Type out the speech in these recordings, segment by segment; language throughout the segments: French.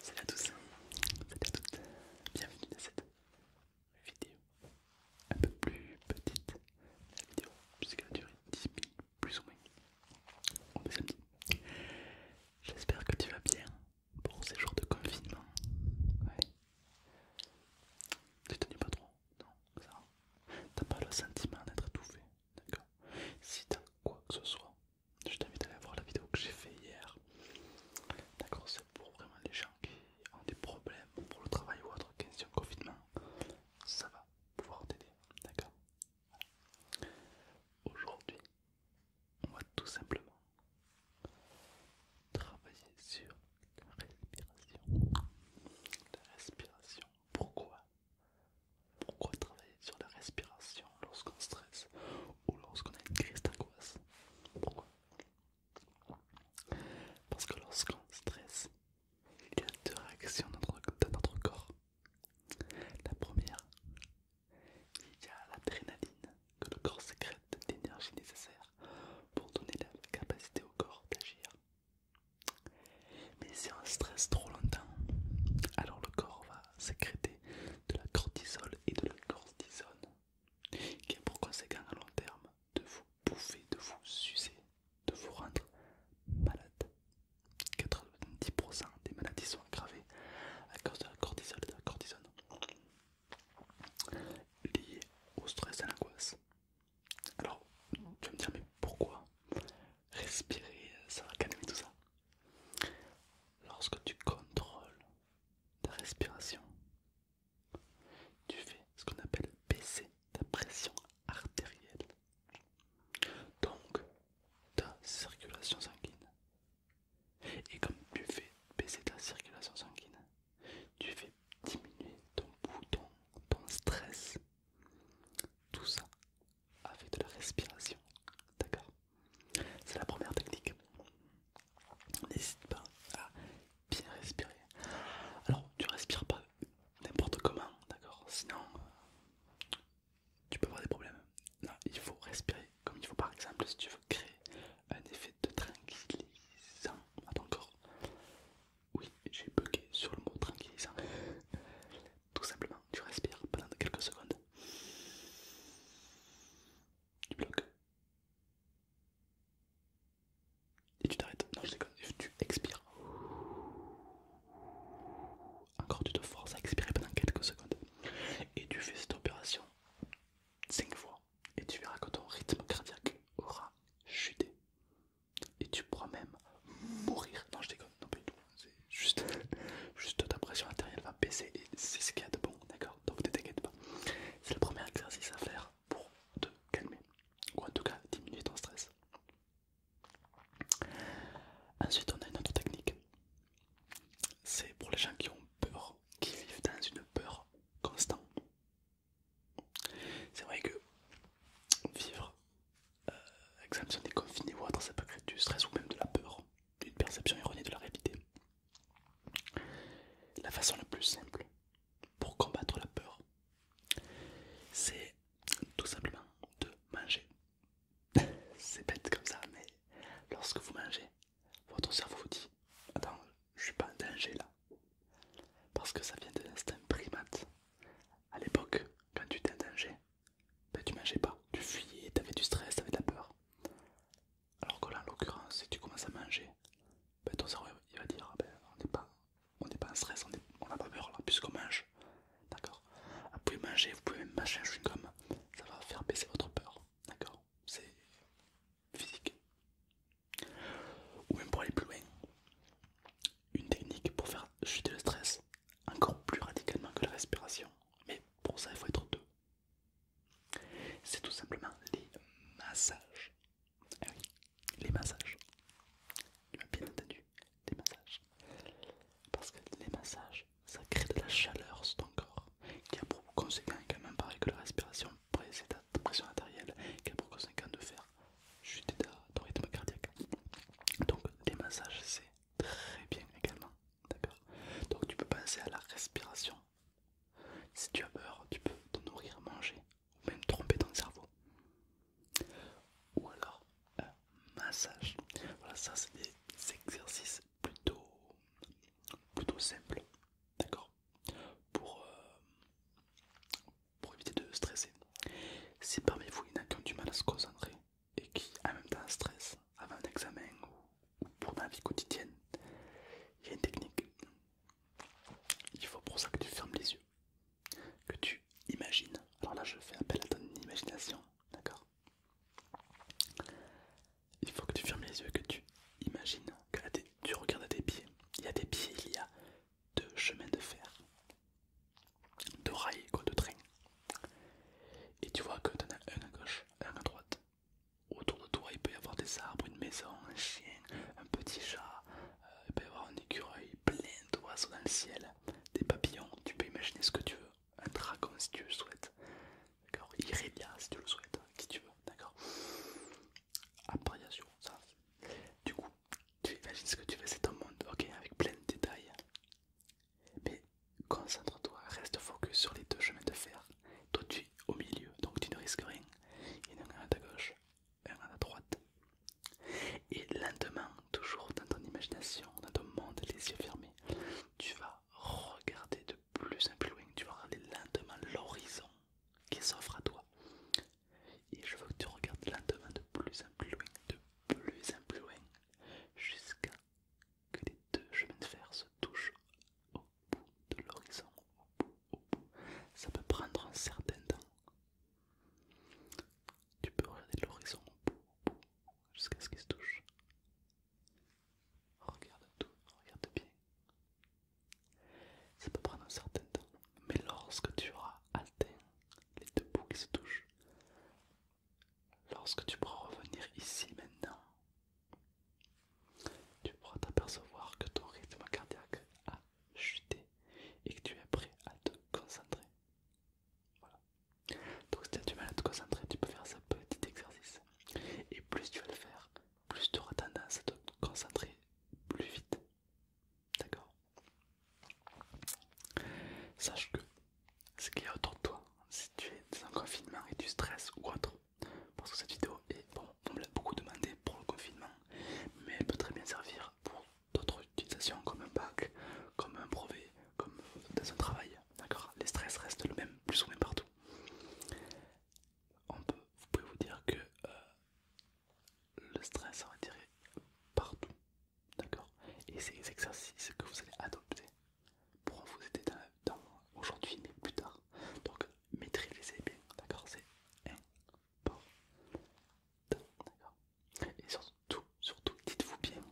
Salut à tous, salut à toutes, bienvenue dans cette vidéo un peu plus petite, la vidéo puisqu'elle a duré 10 minutes plus ou moins, on est samedi. J'espère que tu vas bien pour ces jours de confinement. Ouais. Tu te pas trop, non, ça T'as pas le sentiment d'être étouffé D'accord Si t'as quoi que ce soit, je t'invite à aller voir la vidéo que j'ai fait hier. D'accord C'est pour vraiment les gens qui ont des problèmes pour le travail ou autre, question confinement. Ça va pouvoir t'aider. D'accord Aujourd'hui, on va tout simplement travailler sur la respiration. La respiration, pourquoi pourquoi travailler sur la respiration lorsqu'on stresse ou lorsqu'on a une crise d'angoisse Parce que lorsqu'on stresse, il y a deux réactions dans notre, corps. La première, il y a l'adrénaline que le corps sécrète l'énergie nécessaire pour donner la capacité au corps d'agir mais si on stresse trop longtemps, alors le corps va sécréter de la cortisol et de la cortisone, qui a pour conséquent à long terme de vous bouffer, de vous sucer, de vous rendre malade. 90% des maladies sont aggravées à cause de la cortisol et de la cortisone, liées au stress et à l'angoisse. Alors, tu vas me dire, mais pourquoi respirer, ça va calmer tout ça Lorsque tu contrôles ta respiration, tu fais ce qu'on appelle baisser ta pression artérielle. Donc, ta circulation sanguine. Et comme tu fais baisser ta circulation sanguine, tu fais diminuer ton bouton, ton stress tout ça avec de la respiration. D'accord C'est la première technique. N'hésite pas à bien respirer. Alors, tu respires pas n'importe comment, d'accord Sinon, euh, tu peux avoir des problèmes. Non, il faut respirer comme il faut, par exemple, si tu veux créer un effet de tranquillisant à ton corps. Oui, j'ai bugué sur le mot tranquillisant. Hein. Tout simplement, tu respires pendant quelques secondes. Tu bloques. Et tu t'arrêtes. Non, je déconne. Tu expires. Encore, tu te forces à expirer pendant quelques secondes. Et tu fais cette opération 5 fois et tu verras que ton rythme cardiaque aura chuté et tu pourras même mourir. Non, je déconne, non, pas du tout. C'est juste, juste ta pression intérieure va baisser et c'est ce qu'il y a de bon, d'accord Donc ne t'inquiète pas. C'est le premier exercice à faire pour te calmer ou en tout cas diminuer ton stress. Ensuite, on a une autre technique. C'est pour les gens qui ont peur, qui vivent dans une peur constante. C'est vrai que vivre euh, avec des déconfiné ou autre, ça peut créer du stress ou même de la peur, une perception erronée de la réalité. La façon la plus simple pour combattre la peur, c'est tout simplement de manger. c'est bête comme ça, mais lorsque vous mangez, votre cerveau vous dit Attends, je suis pas en danger là. Parce que ça vient de l'instinct primate. À l'époque, quand tu étais en danger, tu mangeais pas, tu fuyais, avais du stress, t'avais de la peur. Alors que là, en l'occurrence, si tu commences à manger, ben, ton cerveau il va dire ah ben, on n'est pas, en stress, on n'a pas peur là, puisqu'on mange. D'accord Vous pouvez manger, vous pouvez même mâcher un chewing-gum, ça va faire baisser votre peur. D'accord C'est physique. Ou même pour aller plus loin, une technique pour faire chuter le stress encore plus radicalement que la respiration. Mais pour ça, il faut être deux. C'est tout simplement les massages. Ah les massages. bien entendu, les massages. Parce que les massages, ça crée de la chaleur sur ton corps, qui a pour conséquent même pareil que la respiration précédente de pression artérielle, 4,5 de faire chute de rythme cardiaque. Donc les massages c'est très bien également, d'accord Donc tu peux penser à la respiration. Si tu as peur, tu peux te nourrir, manger, ou même tromper ton cerveau. Ou alors un massage. Voilà, ça c'est des exercices plutôt, plutôt simples, d'accord pour, euh, pour éviter de stresser. Si parmi vous il y en a qui ont du mal à se concentrer et qui en même temps stressent avant un examen ou, pour la vie quotidienne, il y a une technique. Il faut pour ça que tu fermes les yeux, que tu imagines. Alors là, je fais appel à ton imagination, d'accord il faut que tu fermes les yeux, que tu imagines que tête tu regardes à tes pieds. Il y a des pieds, il y a deux chemins de fer, deux rails quoi, de trains Et tu vois que tu en as un à gauche, un à droite. Autour de toi, il peut y avoir des arbres, une maison, un chien, un petit chat. Euh, il peut y avoir un écureuil, plein d'oiseaux dans le ciel, des papillons. Tu peux imaginer ce que tu veux, un dragon si tu le souhaites. D'accord Irélia si tu le souhaites, hein, qui tu veux, d'accord Appréciation, ça. Du coup, tu imagines ce que tu veux, c'est ton monde, ok, avec plein de détails. Mais concentre-toi, reste focus sur les deux chemins de fer. Toi tu es au milieu, donc tu ne risques rien. Il y en a un à ta gauche, un à ta droite. Et lentement, toujours dans ton imagination, dans ton monde, les yeux fermés, tu vas regarder de plus en plus loin, tu vas regarder lentement l'horizon qui s'offre à toi. Et je veux que tu regardes lentement de plus en plus loin, de plus en plus loin, jusqu'à que les deux chemins de fer se touchent au bout de l'horizon, Ça peut prendre un certain temps. Tu peux regarder l'horizon jusqu'à ce qu'il se touche. Regarde tout, regarde bien. Ça peut prendre un certain temps, mais lorsque tu auras atteint les deux bouts qui se touchent, lorsque tu pourras revenir ici maintenant, tu pourras t'apercevoir que ton rythme cardiaque a chuté et que tu es prêt à te concentrer. Voilà. Donc si tu as du mal à te concentrer, tu peux faire ce petit exercice. Et plus tu vas le faire, plus tu auras tendance à te concentrer plus vite. D'accord Sache que ce qu'il y a autour de toi, si tu es dans un confinement et tu stresses ou autre, parce que cette vidéo est bon, on me l'a beaucoup demandé pour le confinement, mais elle peut très bien servir pour d'autres utilisations comme un bac, comme un brevet, comme dans un travail. D'accord Les stress restent le même, plus ou moins partout. vous pouvez vous dire que euh, le stress, on va dire, partout. D'accord Et ces exercices que vous allez adopter pourront vous aider dans, aujourd'hui, mais plus tard. Donc, maîtrisez bien, d'accord C'est important. D'accord Et surtout, surtout dites-vous bien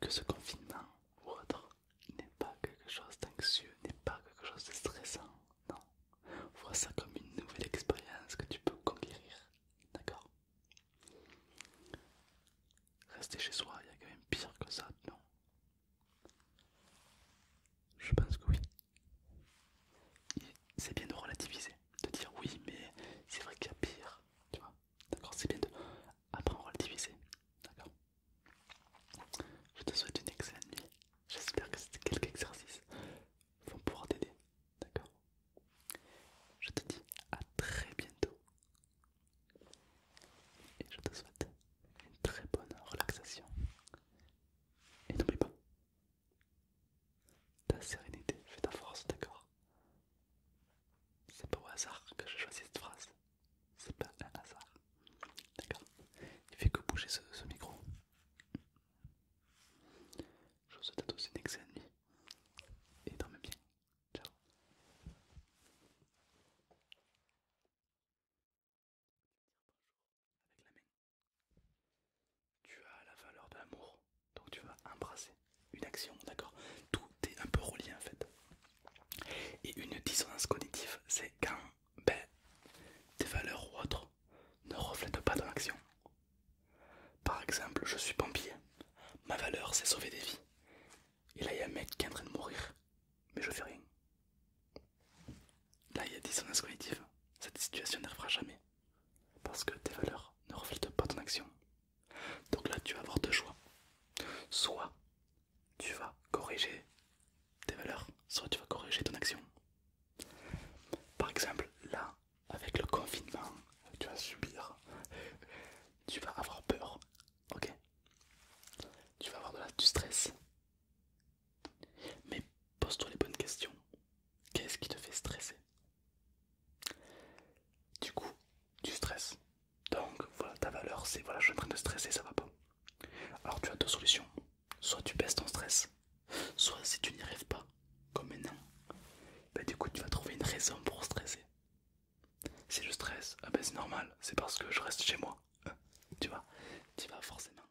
que ce confinement ou autre n'est pas quelque chose d'anxieux, n'est pas quelque chose de stressant, non. Vois ça comme une nouvelle expérience que tu peux conquérir, d'accord Rester chez soi, il y a quand même pire que ça, non Je pense que oui. C'est bien de relativiser, de dire oui, mais c'est vrai qu'il y a pire, tu vois. D'accord C'est bien de. apprendre à le diviser. D'accord Je te souhaite une excellente nuit. J'espère que ces quelques exercices vont pouvoir t'aider. D'accord Je te dis à très bientôt. Et je te souhaite une très bonne relaxation. Et n'oublie pas, ta sérénité fait ta force, d'accord C'est pas au hasard que j'ai choisi cette phrase, c'est pas un hasard, d'accord Il fait que bouger ce, micro. Je vous souhaite à tous une excellente nuit et dormez bien. Ciao avec la main tu as la valeur de l'amour, donc tu vas embrasser une action, d'accord Tout est un peu relié en fait. Et une dissonance cognitive, c'est quand ben, tes valeurs ou autres ne reflètent pas ton action. Par exemple, je suis pompier, ma valeur c'est sauver des vies. Et là, il y a un mec qui est en train de mourir, mais je fais rien. Là, il y a dissonance cognitive. Cette situation n'arrivera jamais. Parce que tes valeurs ne reflètent pas ton action. Donc là, tu vas avoir deux choix. Soit tu vas corriger tes valeurs, soit tu vas corriger ton action. Par exemple, là, avec le confinement tu vas subir, tu vas avoir peur, ok Tu vas avoir de la, du stress. Mais pose-toi les bonnes questions. Qu'est-ce qui te fait stresser du coup, tu stresses. Donc voilà ta valeur, c'est voilà, je suis en train de stresser, ça va pas. Alors tu as deux solutions. Soit tu baisses ton stress, soit si tu n'y rêves pas, comme maintenant, bah du coup tu vas trouver une raison pour stresser. Si je stresse, ah ben, c'est normal, c'est parce que je reste chez moi. Euh, tu vois, tu vas forcément.